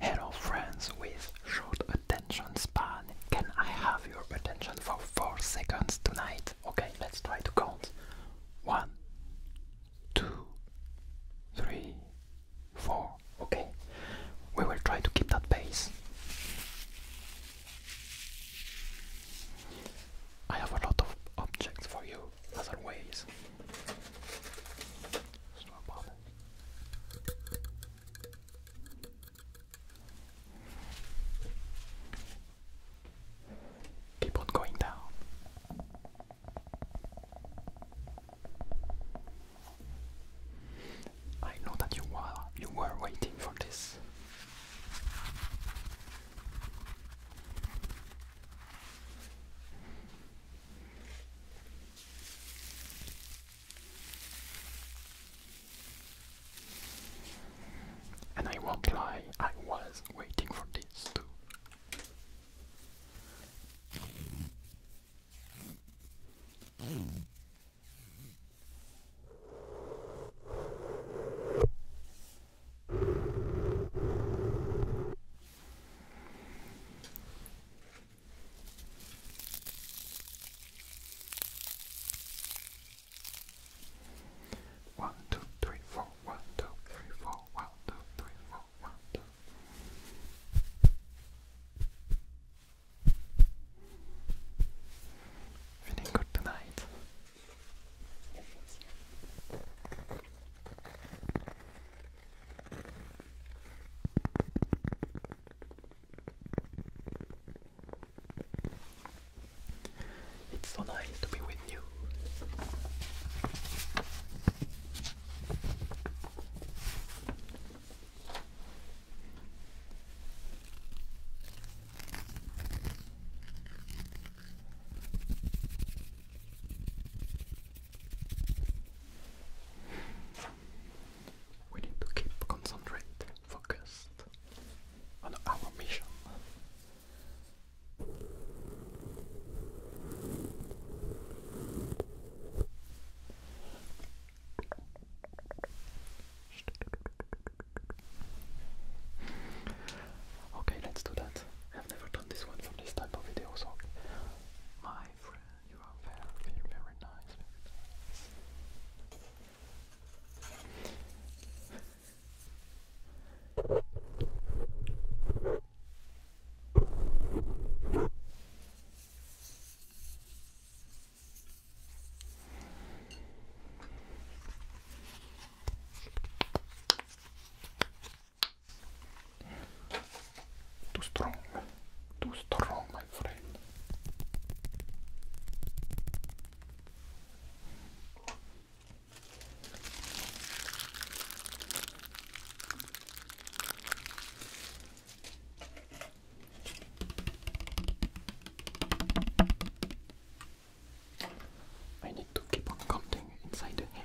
Hello friends with short attention span. Can I have your attention for 4 seconds tonight? Okay, let's try to count. One, two, three, four. Okay, we will try to keep that pace. I have a lot of objects for you, as always. Keep on going down. I know that you were you were waiting for this. And I won't lie, I was waiting for this too. One, two, three, four, one, two, three, four, one, two, three, four, one, two. Feeling good tonight. It's so nice to be with you. We need to keep concentrate, focused on our mission. Okay, let's do that. I've never done this one for this type of video, so my friend. You are very, very nice. Too strong. Too strong, my friend. I need to keep on counting inside the head.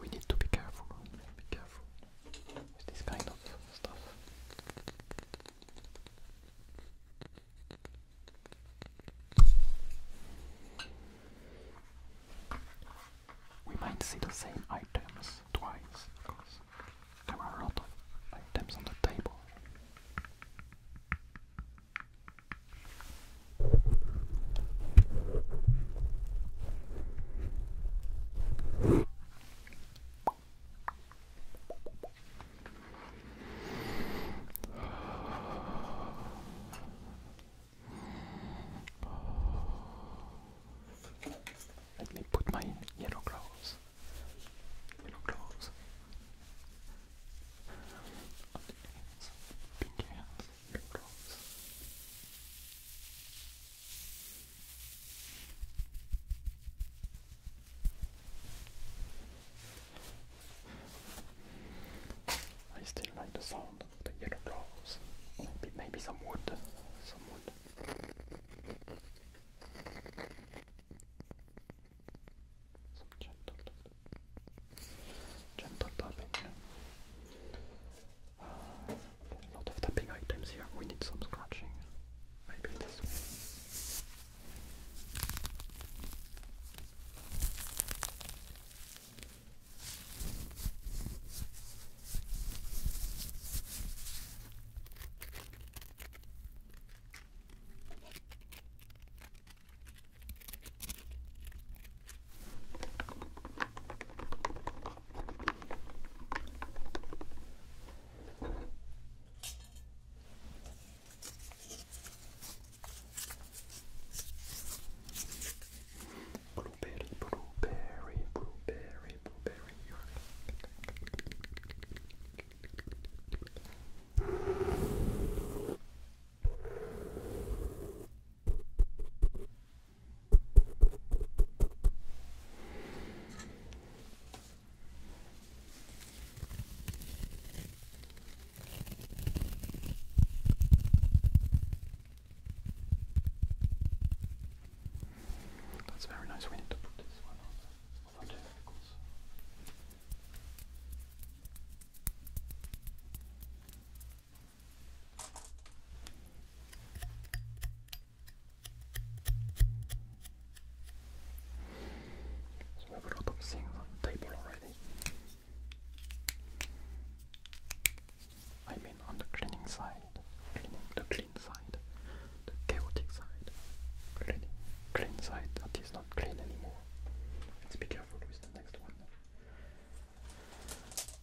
we, need to be careful, be careful with this stuff. We might see the same items twice because there are a lot of items on the table. Let me put my yellow gloves your gloves, pinky hands, your gloves. I still like the sound of the yellow gloves. Maybe, maybe some wood. Some wood. Some gentle, gentle tapping. a lot of tapping items here. We need some scratching. Maybe this one. Blueberry, blueberry, blueberry, blueberry. That's very nice. We need to put this one on we have a lot the table already. I mean on the cleaning side, the clean side, the chaotic side, cleaning clean side not clean anymore. Let's be careful with the next one. Stop.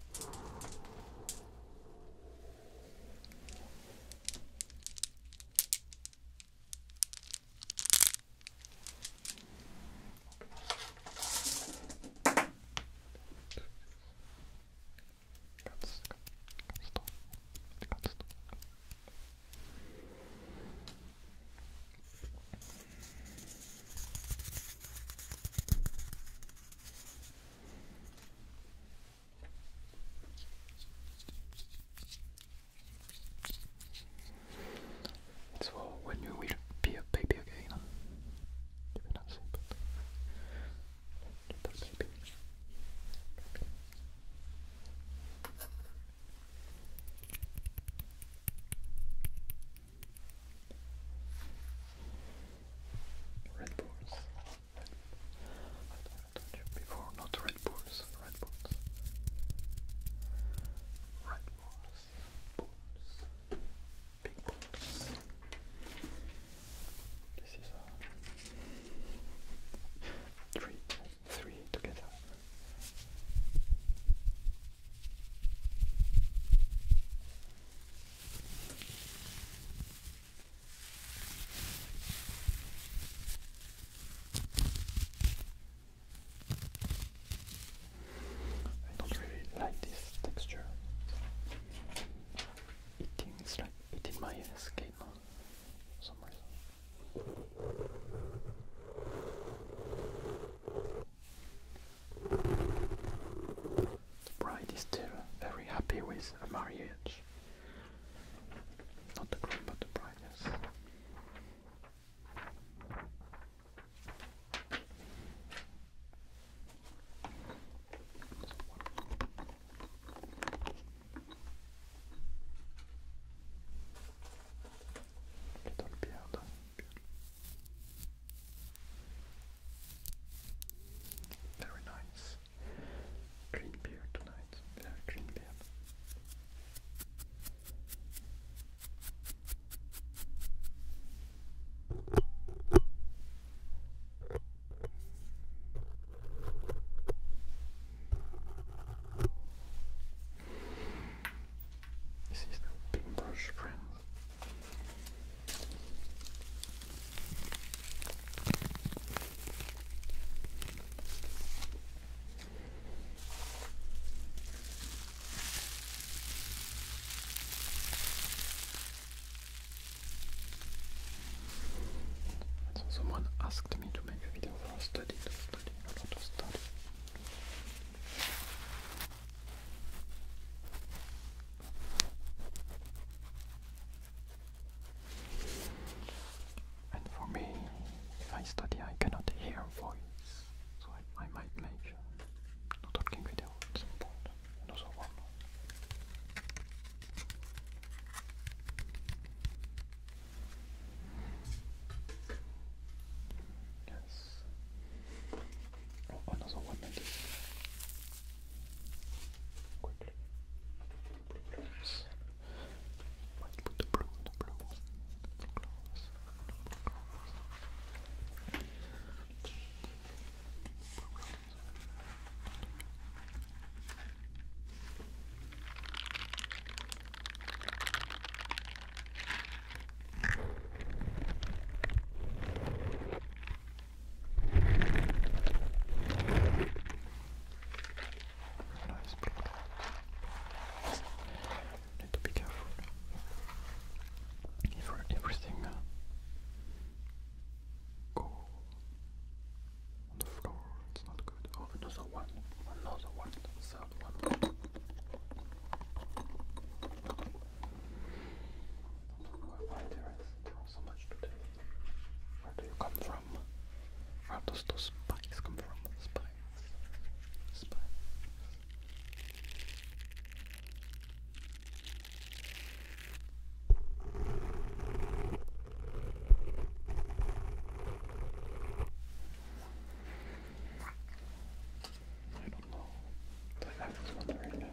Stop. It's for when you will be a baby again. Red Bulls. Red, I told you before, not Red Bulls. Red Bulls. Red Bulls. Big Bulls. This is a treat three together. I don't really like this texture. Eating is like eating my skin for some reason. The bride is still very happy with her marriage. Not the groom, but the bride, yes. Very nice. Green beard tonight. Very green beard. This is the paintbrush, friends. someone asked me to make a video for a study. And for me, if I study, I cannot hear voice, so I, might make uh, not talking video at some one. Yes. Oh, another one like this. Quickly. Close. White Nice blood. Need to be careful. If everything uh, go on the floor, it's not good. Oh, another one, another one. So why, there is there so much today? Where do you come from? Where does those spikes come from? Spikes. Spikes. I don't know. I was wondering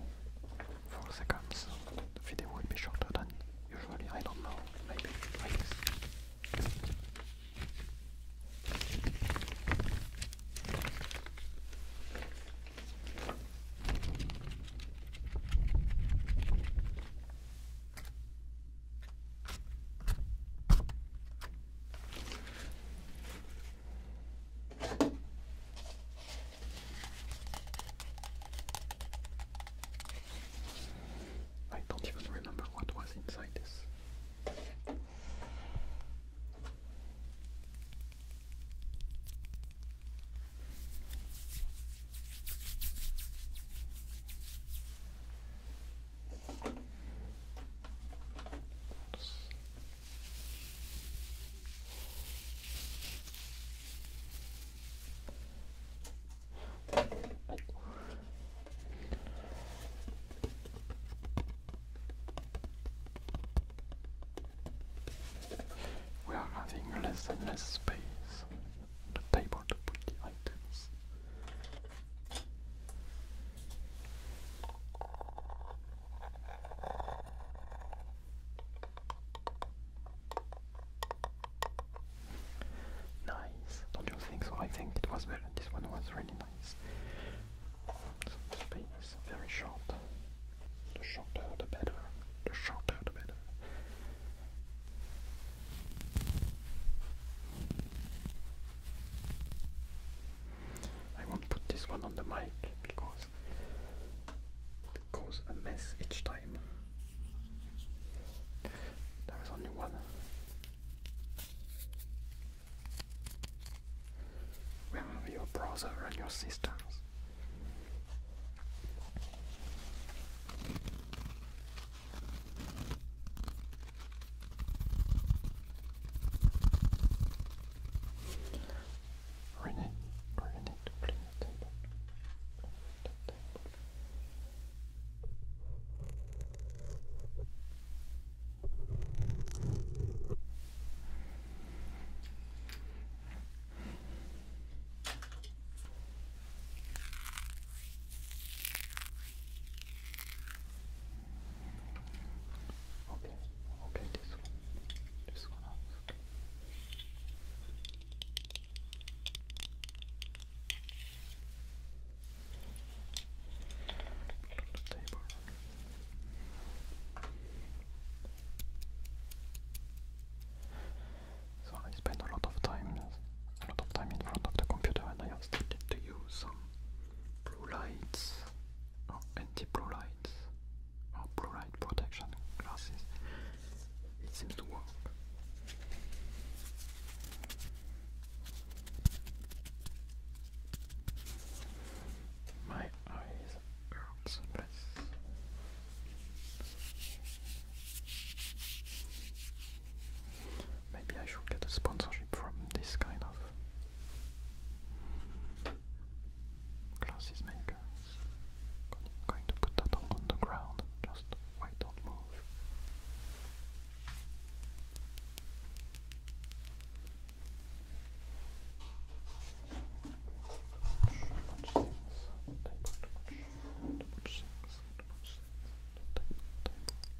uh, seconds the video will be shorter than usually. I don't know. Maybe like I don't even remember what was inside this. We are having less and less space on the table to put the items. Nice, don't you think so? I think it was very, this one was really nice. very short. The shorter the better. The shorter the better. I won't put this one on the mic because it causes a mess each time. There is only one. Where are your brother and your sisters? We're gonna, we're gonna need to bring the table. Bring the table. Okay. Okay, okay, this one, this one out. So I spend a lot of time, a lot of time in front of the computer, suggested to use some blue lights or anti-blue lights or blue light protection glasses. It seems to work. My eyes hurts Maybe I should get a sponsorship from this kind of classes maker. I'm going to put that on the ground. Just why don't move.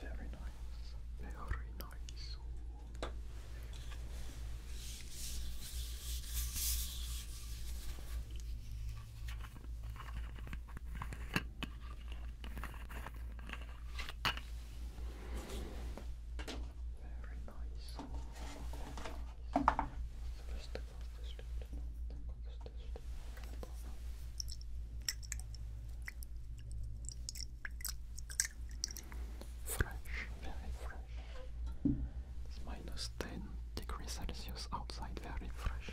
Very nice. Very nice. Very nice. Fresh, very fresh. It's minus 10 degrees Celsius outside, very fresh.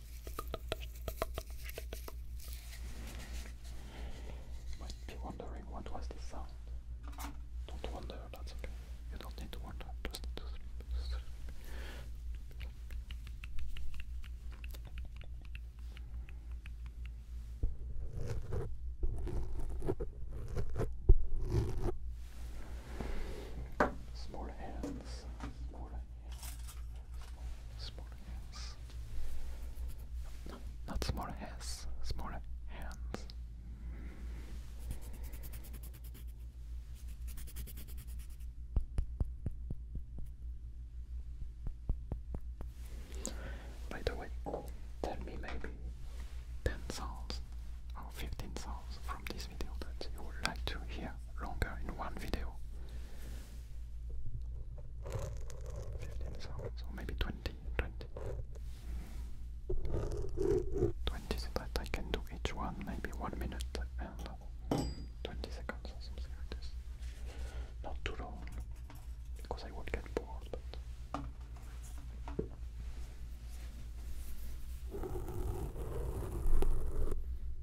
You might be wondering what was this sound. Don't wonder, You don't need to wonder, Small hands. small hands. small hands. No, not smaller hands. Smaller hands. By the way, tell me maybe 10 sounds or 15 sounds from this video that you would like to hear longer in one video. 15 songs, maybe 20, 20. I can do each one, maybe 1 minute and 20 seconds or something like this. Not too long, because I would get bored, but...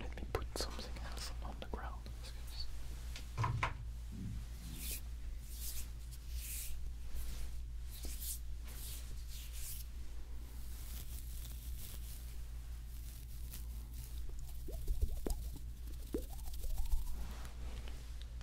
Let me put something else on the ground.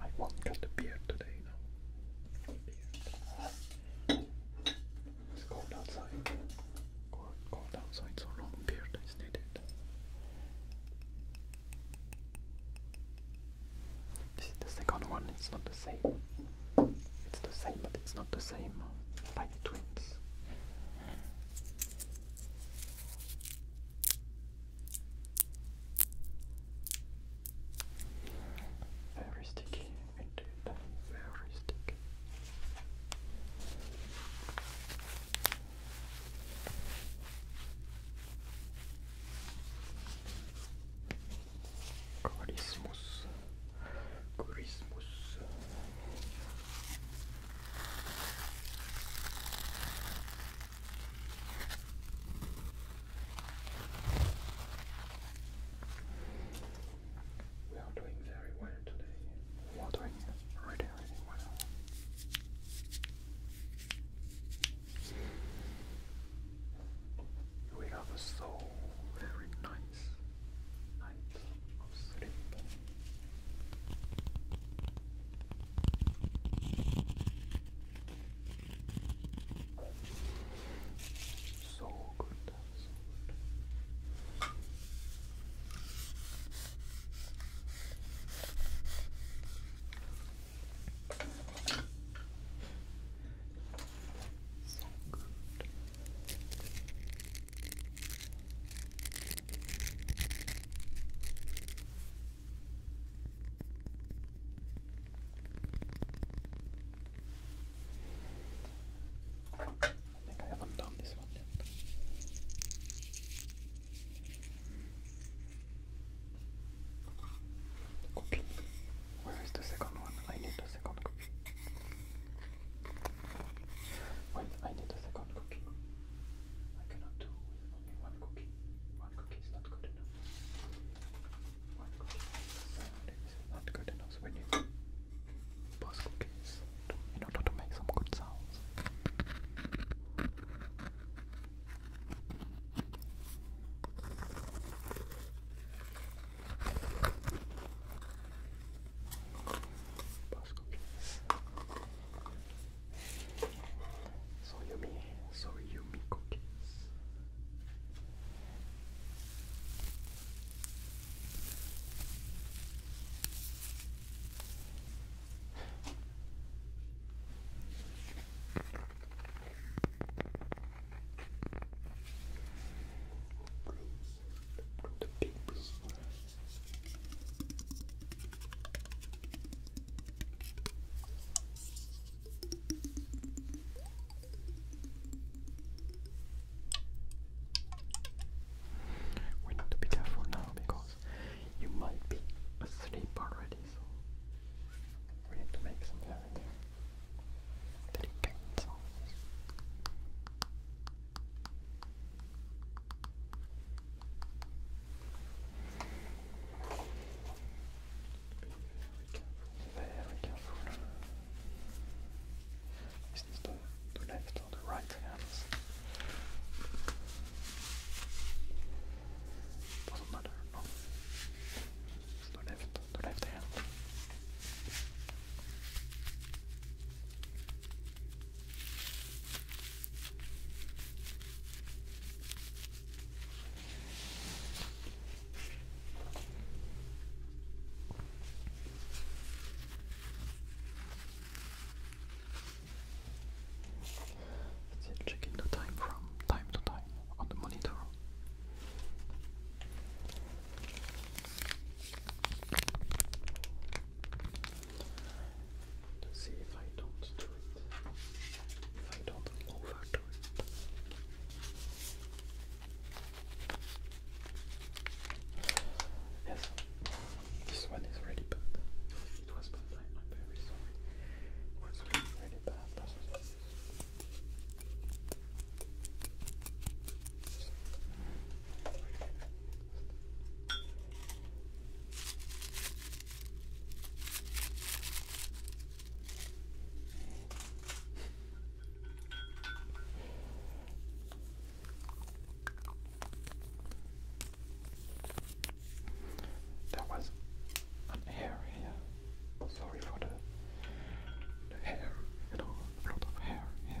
I won't cut the beard today, It's cold outside. Cold, cold outside, so long beard is needed. This is the second one, it's not the same. It's the same, but it's not the same. Like twins. Very sticky, indeed. Very sticky. Quite Christmas. We are doing very well today. We are doing really, really well. We have a so very nice night of so good. So good. I think I haven't done this one yet. Okay. Where is the second one? I need the second copy. Wait, I need a second cookie. I cannot do only one cookie. One cookie is not good enough. One cookie is not good enough. we need both cookies in order to make some good sounds. Box So yummy, so yummy cookies the We need to be careful now because you might be asleep already, so we need to make some very delicate sounds. Very careful. is the, the left or the right hands. Doesn't matter, left, left hand. Still checking the time from time to time on the monitor. Let's see if I don't do it. If I don't overdo it. Yes, this one is really bad. It was bad, I'm very sorry. was really, really bad. That was an hair here. Sorry for the, the hair, you know, a lot of hair here.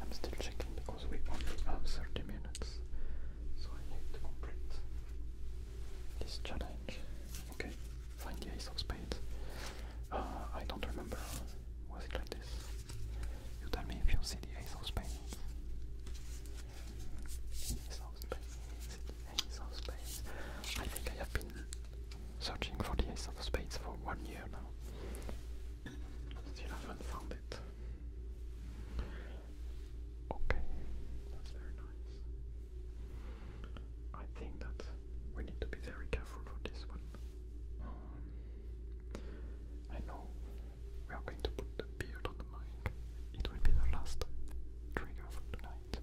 I'm still checking because we only have 30 minutes, so I need to complete this challenge. Okay, find the ace of uh, I don't remember. Was it like this? You tell me if you see the ace of spades. Ace of spades. I think I have been searching for the Ace of Spades for one year now. Still haven't found it. Okay, that's very nice. I think that we need to be very careful for this one. Um, I know we are going to put the beard on the mic. It will be the last trigger for tonight.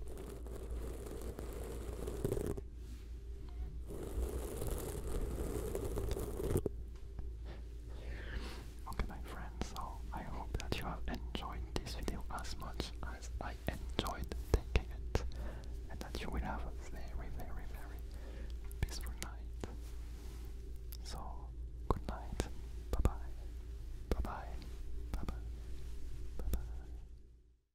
Okay my friends, so I hope that you have enjoyed this video as much as I enjoyed taking it and that you will have a very very very peaceful night. So good night. Bye bye. Bye bye. Bye bye. Bye bye.